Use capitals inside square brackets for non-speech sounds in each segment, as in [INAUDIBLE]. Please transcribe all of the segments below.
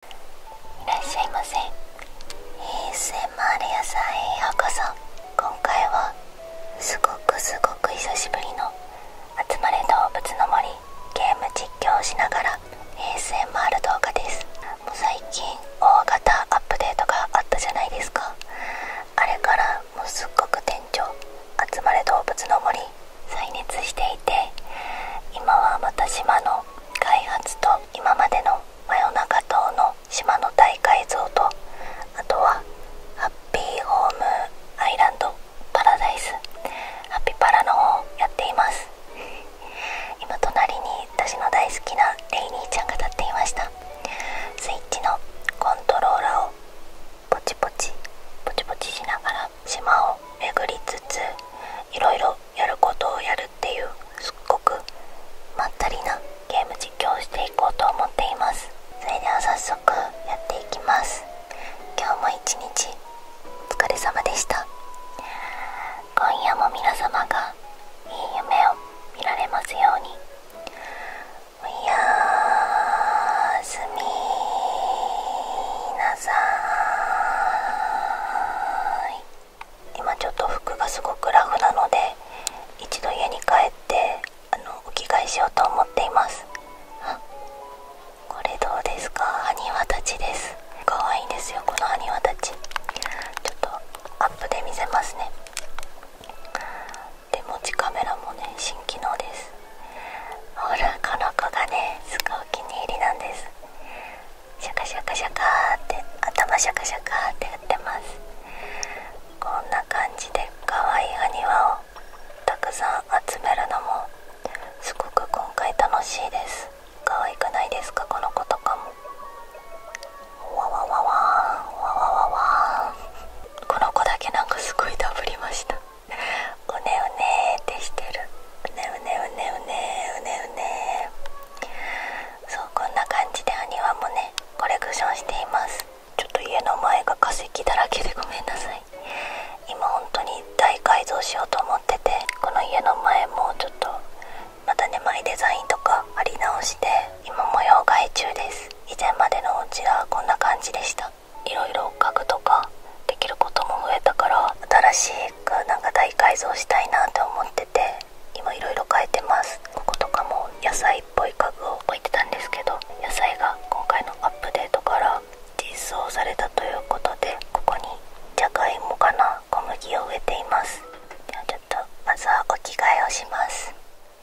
いらっしゃいませ ASMR 屋さんへようこそ今回はすごくすごく久しぶりの「集まれ動物の森」ゲーム実況しながら ASMR 動画ですもう最近大型アップデートがあったじゃないですかあれからもうすっごく店長集まれ動物の森再熱していて今はまた島の開発と今までの真夜中等の島の大改造とあとはハッピーホームアイランドパラダイスハッピーパラの方をやっています今隣に私の大好きなレイニーちゃんが立っていましたスイッチのコントローラーをポチポチポチポチしながら島を巡りつついろやることをやるっていうすっごくまったりなゲーム実況をしていこうと思っていますそれでは早速やっていきます今日も一日お疲れ様でした今夜も皆様がいい夢を見られますようにおやすみなさい今ちょっと服がすごくラフなので一度家に帰ってあのお着替えしようと思っていますあ、これどうですかニワたちです可愛いんですよこのニワたちちょっとアップで見せますね手持ちカメラもね新機能ですほらこの子がねすごいお気に入りなんですシャカシャカシャカって頭シャカシャカってやってますこんな感じで可愛いお庭をたくさん集めるのもすごく今回楽しいです可愛くないですかこの子とかもわわわわわわわわわこの子だけなんかすごいダブりましたうねうねーってしてるうねうねうねうねうねうねそうこんな感じでお庭もねコレクションしていますちょっと家の前が化石だらけでごめんなさい今本当に大改造しようと思っててこの家の前もちょっとまた眠いデザインとか貼り直して今模様替え中です以前までのお家はこんな感じでしたいろいろ家具とかできることも増えたから新しいなんか大改造したいなって思ってて今いろいろ変えてますこことかも野菜っぽい家具を置いてたんですけど野菜が今回のアップデートから実装されたということでここにじゃがいもかな小麦を植えていますではちょっとまずはお着替えをします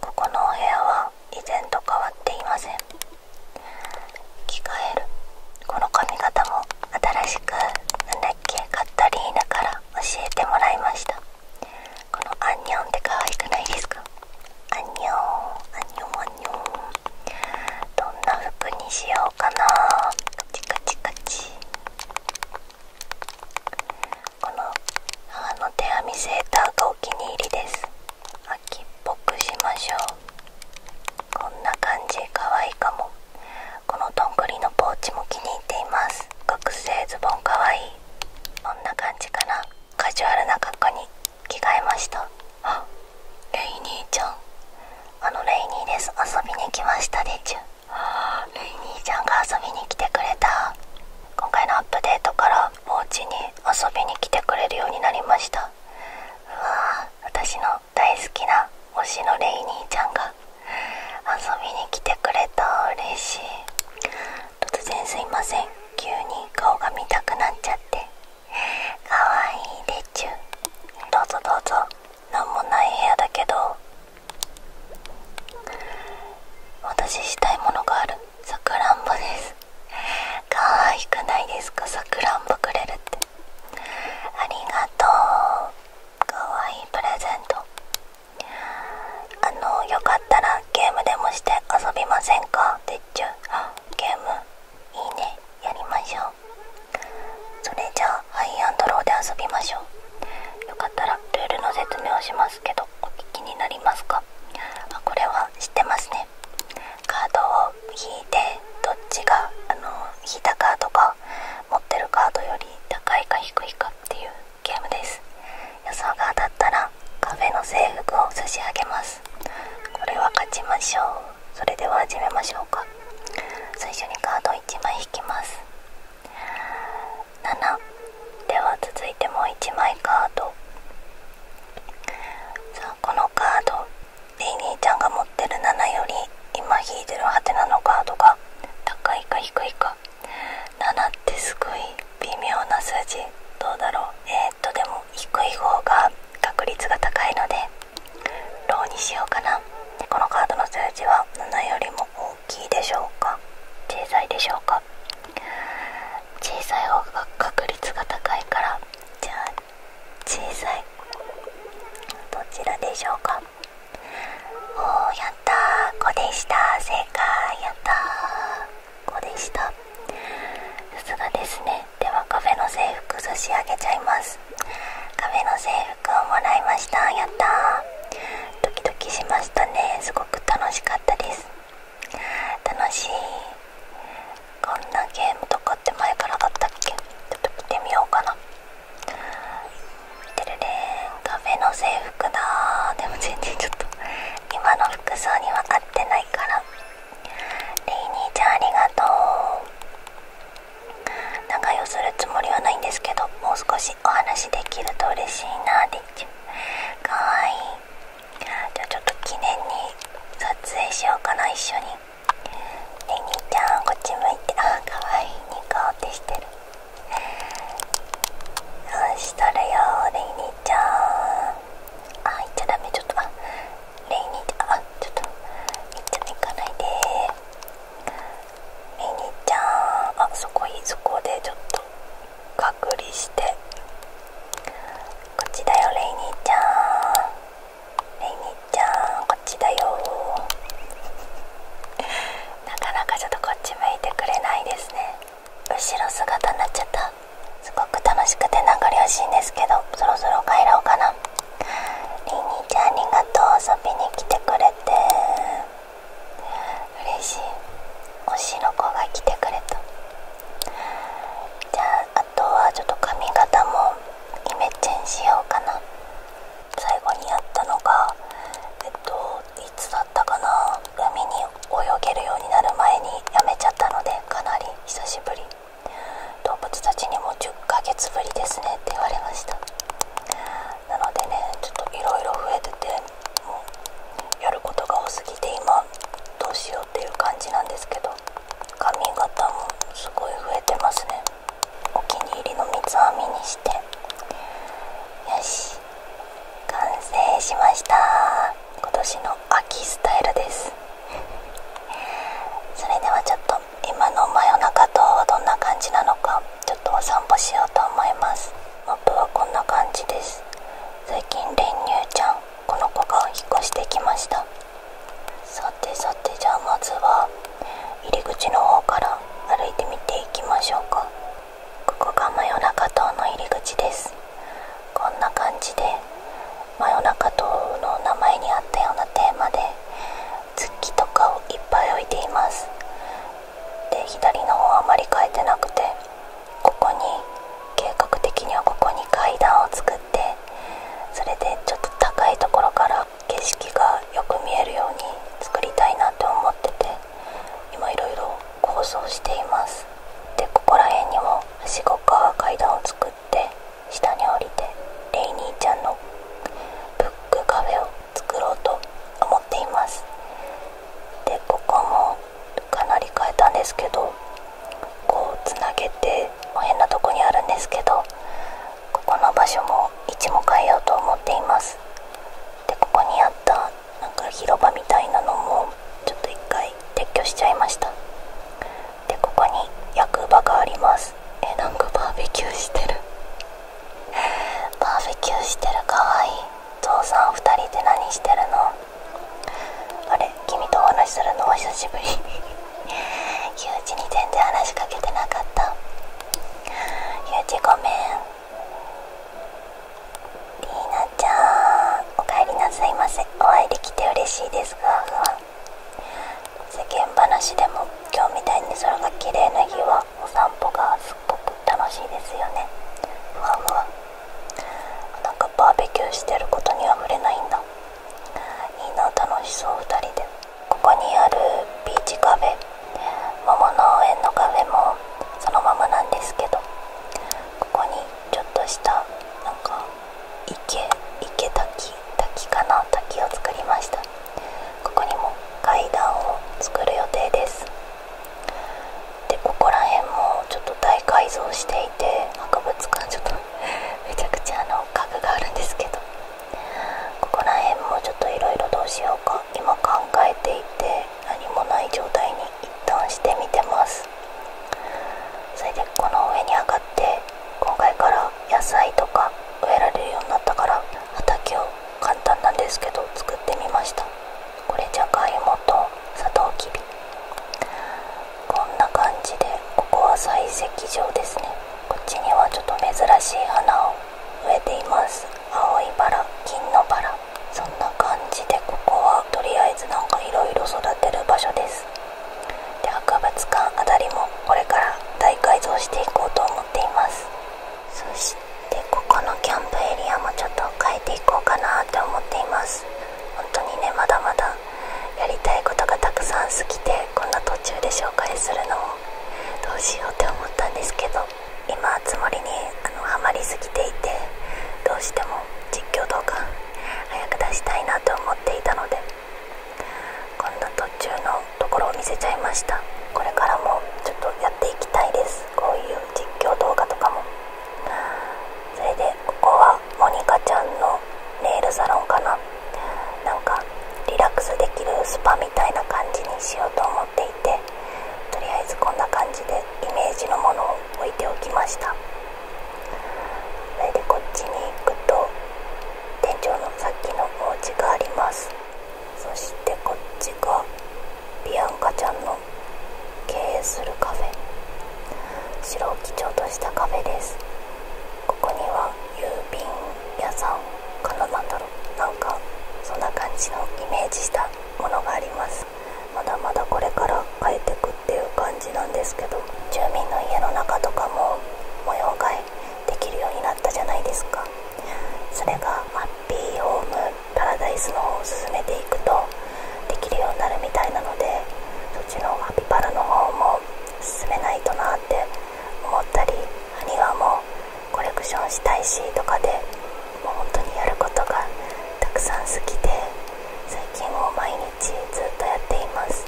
ここのお部屋は以前と変わっていません着替えるこの髪型も新しくなんだっけカったリーナから教えてもらいましたこのアンニョンって可愛くないですかアンニョンアンニョンアンニョンどんな服にしようかなカチカチカチこの母の手編みセーターがお気に入りです秋っぽくしましょうこんな感じかわいいかもこのどんぐりのポーチも気に入っています学生ズボンかわいいこんな感じかなカジュアルな格好に着替えましたレイニーちゃんあのレイニーです遊びに来ましたでちゅレイニーちゃんが遊びに来てくれた今回のアップデートからお家に遊びに来てくれるようになりましたうわ私の大好きな推しのレイニーちゃんが遊びに来てくれた嬉しい突然すいません急に顔が見たくなっちゃってかわいいでちゅどうぞどうぞ何もない部屋だけど私したいものがあるさくらんぼです可愛くないですかさくらんぼくれるってありがとうかわいいプレゼントあのよかったらゲームでもして遊びませんかてっちゅゲームいいねやりましょうそれじゃあハイアンドローで遊びましょうよかったらルールの説明をしますけどお聞きになりますかあこれは知ってますねカードを引いてどっちがあの引いたカードが持ってるカードより高いか低いかっていうゲームです予想が当たったらカフェの制服を差し上げますこれは勝ちましょうそれでは始めましょうか最初にカードを1枚引きます7では続いてもう1枚カードさあこのカードリリーちゃんが持ってる7より今引いてるハテナのカードが高いか低いか7ってすごい微妙な数字どうだろうえっとでも低い方が確率が高いのでローにしようかなこのカードの数字は7よりも大きいでしょうか小さいでしょうか小さい方が確率が高いからじゃあ小さいどちらでしょうかおーやったー5でした正解やったー5でしたさすがですねではカフェの制服差し上げちゃいますカフェの制服をもらいましたやったードキドキしましたねすごく楽しかったです楽しいこんなゲームとかって前からあったっけちょっと見てみようかなてるれんカフェの制服だでも全然ちょっと今の服装には合ってないからレイニーちゃんありがとう仲良するつもりはないんですけどもう少しお話できると嬉しいなーでっちゅかわいいじゃあちょっと記念に撮影しようかな一緒にレイニーちゃんこっち向いてあかわいいニコってしてるうんしとるよレイニーちゃんあ行っちゃダメちょっとあレイニーちゃんあちょっといっちゃん行かないでレニーちゃんあそこいいそこでちょっと隔離して。こっちだよレイニーちゃんレイニーちゃんこっちだよ [LAUGHS] なかなかちょっとこっち向いてくれないですね後ろ姿になっちゃったすごく楽しくて名残惜しいんですけどそろそろ帰ろうかなレイニーちゃんありがとう遊びに来てくれて嬉しい推しの子が来てくれたじゃああとはちょっと髪型もイメチェンしようかな最後にやったのがえっといつだったかな海に泳げるようになる前にやめちゃったのでかなり久しぶり動物たちにも10ヶ月ぶりですねって言われましたなのでねちょっといろいろ増えててもうやることが多すぎて今どうしようっていう感じなんですけど髪型もすごい増えてますねお気に入りの三つ編みにしてよし完成しました今年の秋スタイルです [LAUGHS] それではちょっと今の真夜中とはどんな感じなのかちょっとお散歩しようと思いますマップはこんな感じです最近練乳ちゃんこの子が引っ越してきましたさてさてじゃあまずは入り口の方から歩いてみていきましょうかここが真夜中島の入り口ですこんな感じで真夜中島の名前にあったようなテーマで月とかをいっぱい置いていますで左の方あまり変えてなくてここに計画的にはここに階段を作ってそれでちょっと高いところから景色がよく見えるように作りたいなって思ってて今いろいろ構想していますでここら辺にもはしごか階段を作って下に降りてレイニーちゃんのブックカフェを作ろうと思っていますでここもかなり変えたんですけどこうつなげて変なとこにあるんですけどここの場所も位置も変えようと思っていますでここにあったなんか広場みたいなのもちょっと一回撤去しちゃいましたでここに役場がありますえなんかバーベキューしてるバーベキューしてるかわいい父さん2人で何してるのあれ君とお話しするのお久しぶりゆうちに全然話しかけてなかったゆうちごめんりーなちゃんおかえりなさいませお会いできて嬉しいですふわふわ世間話でも今日みたいに空が綺麗な日はお散歩がすっごく楽しいですよねふわふわなんかバーベキューしてることには触れないんだいいな楽しそう2人でここにあるビーチカフェ桃農園のカフェもそのままなんですけどここにちょっとしたなんか池池滝滝かな滝を作りましたここにも階段を作る予定ですでここら辺もちょっと大改造していて博物館ちょっと [LAUGHS] めちゃくちゃあの家具があるんですけどここら辺もちょっといろいろどうしようか今考えていて何もない状態に一旦してみてますそれでこの上に上がって今回から野菜とか植えられるようになったから畑を簡単なんですけど作ってみました。これじゃがいもとサトウキビこんな感じでここは採石場ですねこっちにはちょっと珍しい花を植えています青いバラ金のバラそんな感じでここはとりあえずなんかいろいろ育てる場所ですで博物館あたりもこれから大改造していこうと思っていますでここのキャンプエリアもちょっと変えていこうかなって思っています本当にねまだまだやりたいことがたくさん過ぎてこんな途中で紹介するのもどうしようって思ったんですけど今つもりにあのハマりすぎていてどうしても実況動画早く出したいなと思っていたのでこんな途中のところを見せちゃいましたこれからもちょっとやっていきたいですこういう実況動画とかもそれでここはモニカちゃんのネイルサロンかななんかリラックスできるスパみたいな感じにしようと思っていてとりあえずこんな感じでイメージのものを置いておきましたそれでこっちに行くと店長のさっきのお家がありますそしてこっちがビアンカちゃんの経営するカフェ白を基調としたカフェですここには郵便屋さんかななんだろうなんかそんな感じのイメージしたものがありますまだまだこれから変えてくっていう感じなんですけど住民の家の中とかも模様替えできるようになったじゃないですかそれがハッピーホームパラダイスの方を進めていくとできるようになるみたいなのでそっちのアピパラの方も進めないとなって思ったり埴輪もコレクションしたいしとかでもう本当にやることがたくさん好きで最近も毎日ずっとやっています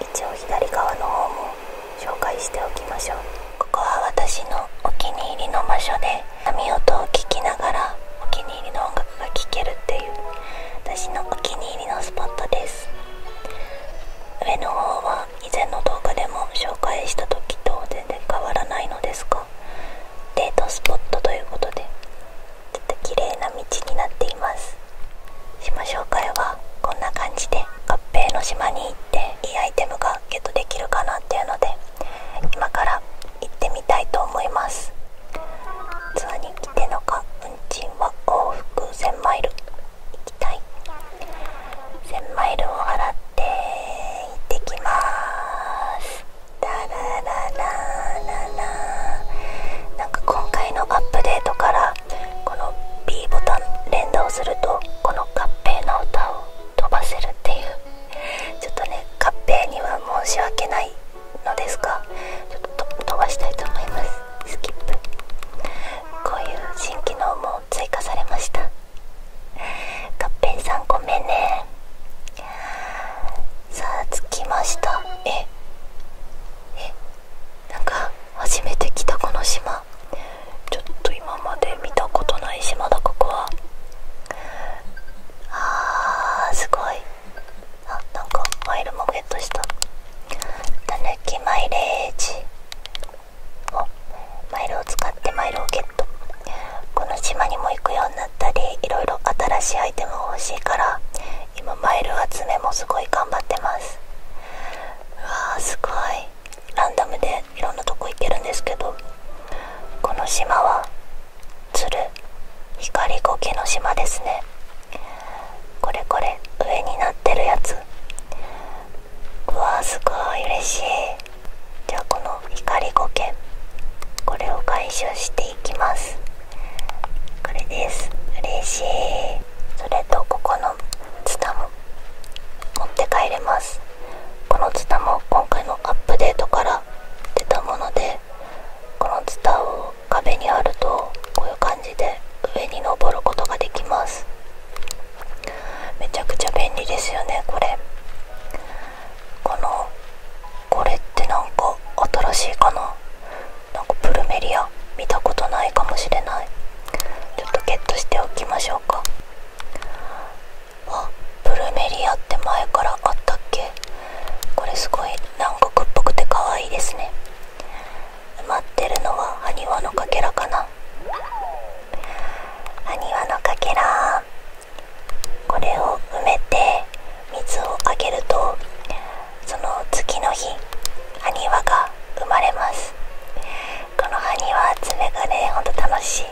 一応左側の方も紹介しておきましょうここは私のお気に入りの場所で髪音を聞きながらお気に入りの音楽が聴けるっていう私のお気に入りのスポットです上の方は以前の動画でも紹介した時と全然変わらないのですがデートスポットということでちょっと綺麗な道になっています島紹介はこんな感じで合併の島に行っていいアイテムがゲットできるかなっていうので今から行ってみたいと思いますツアーに来てのか運賃は往復1000マイル行きたい1000マイルを払って行ってきますララララなんか今回のアップデートからこの B ボタン連打をするとこの合併の歌を飛ばせるっていうちょっとねカッペには申し訳ないのですがちょっと飛ばしたいと思いますスキップこういう新機能も追加されましたカッペンさんごめんねさあ着きましたええなんか初めて来たこの島ちょっと今まで見たことない島田ここはあーすごいあなんかマイルもゲットしたたぬきマイレージおマイルを使ってマイルをゲットこの島にも行くようになったりいろいろ新しいアイテムが欲しいから今マイル集めもすごい頑張ってますうわーすごいランダムでいろんなとこ行けるんですけどこの島は鶴光苔の島ですねこれこれ上になってるやつうわーすごい嬉しいじゃあこの光苔これを回収していきますこれです嬉しいそれとここのツタも持って帰れますこのツタも今回のアップデートから出たものでこのツタを壁にあるとこういう感じで上に登ることができますめちゃくちゃ便利ですよねこれこのこれって何か新しいかななんかプルメリア見たことないかもしれないちょっとゲットしておきましょうかあプルメリアって前からあったっけこれすごい南国っぽくて可愛いですね埋まってるのはニワのかけらかなニワのかけらこれを埋めて水をあげるとその次の日ニワが生まれますこの埴輪爪がねほんと楽しい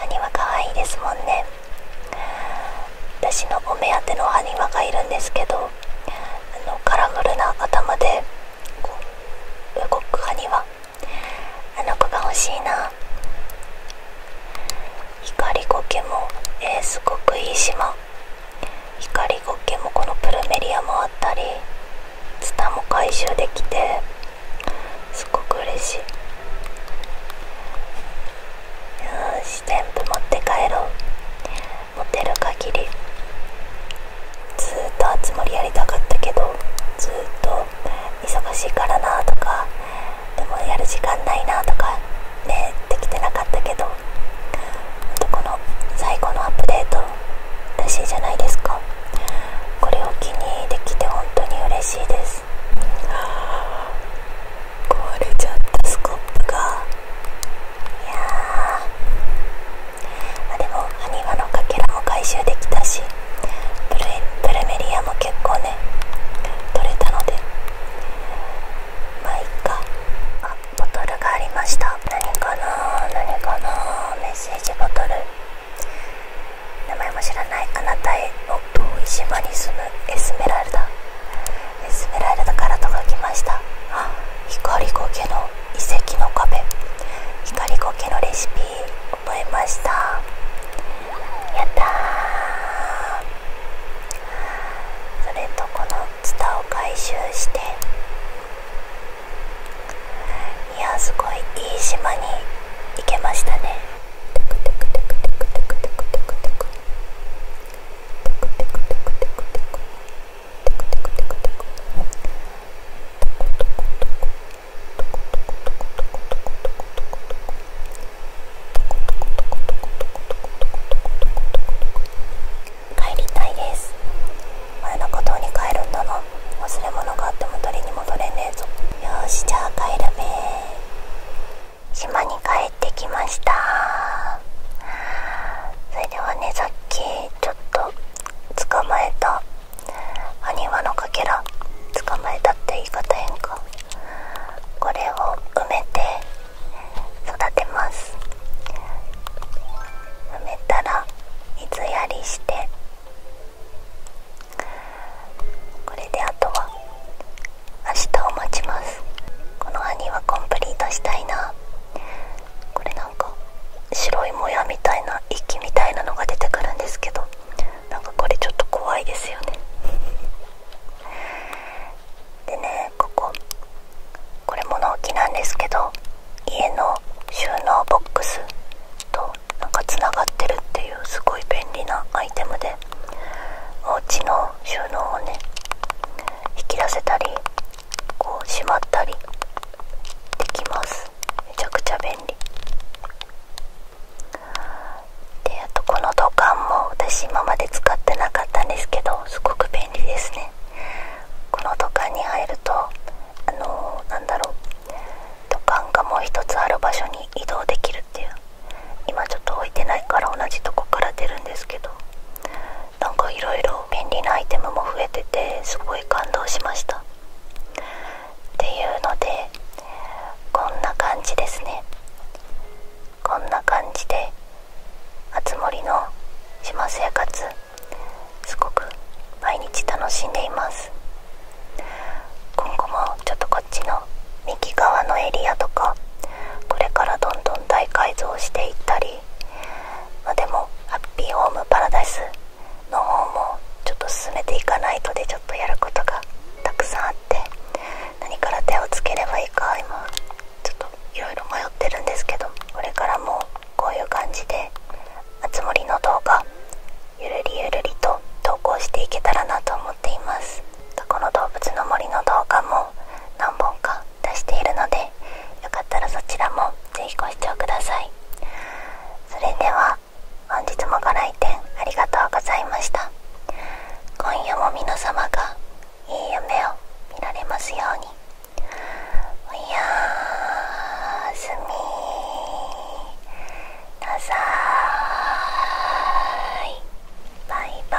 埴輪かわいいですもんね私のお目当ての埴輪がいるんですけどあのカラフルな頭で動く埴輪あの子が欲しいな光ゴケも、えすごくいい島光ゴケもこのプルメリアもあったりツタも回収できてすごく嬉しいよし全部持って帰ろう持てる限りずっとあつ森やりたかったけどずっと忙しいからなとかでもやる時間ないなとかねできてなかったけどあとこの最後のアップデート嬉しいじゃないですかこれを気にできて本当に嬉しいです壊れちゃったスコップがいやあ、でもハニワのかけらも回収できたしプルメリアも結構ね取れたのでまあいっかあボトルがありました何かな何かなメッセージボトル名前も知らないあなたへの遠い島に住むエスメラルダエスメラルダから届きました光ゴケの遺跡の壁光ゴケのレシピ覚えましたやったーそれとこのツタを回収していやすごいいい島に行けましたねテクテクテクテクテクテクテクテク帰りたいです前の孤島に帰るんだな忘れ物があっても取りに戻れねえぞよしじゃあ帰るべ島に帰ってきましたそれではねさっきちょっと捕まえたハニワのかけら捕まえたって言い方変かこれを埋めて育てます埋めたら水やりしてこれであとは明日を待ちますこの兄はコンプリートしたいなこれなんか白いもやみたいな息みたいなのが出てくるんですけどなんかこれちょっと怖いですよねでねこここれ物置なんですけど家の収納ボックスとなんかつながってるっていうすごい便利なアイテムでお家の収納をね引き出せたりこうしまったりできますめちゃくちゃ便利であとこの土管も私今まで使ってなかったんですけどすごく便利ですねこの土管に入るとあのー、なんだろう土管がもう一つある場所に移動できるっていう今ちょっと置いてないから同じとこから出るんですけどなんかいろいろ便利なアイテムも増えててすごい感動しましたっていうのでこんな感じですねこんな感じであつ森の島生活すごく毎日楽しんでいます今後もちょっとこっちの右側のエリアとかこれからどんどん大改造していったり、まあ、でもハッピーホームパラダイスの方もちょっと進めていかないとでちょっとやることがたくさんあって何から手をつければいいか今ちょっといろいろ迷ってるんですけどこれからもこういう感じであつ森の動画ゆるりゆるりと投稿していけたらなと思っていますこの動物の森の動画も何本か出しているのでよかったらそちらもぜひご視聴くださいそれでは本日もご来店ありがとうございました今夜も皆様がいい夢を見られますように。おやすみなさいバイバイ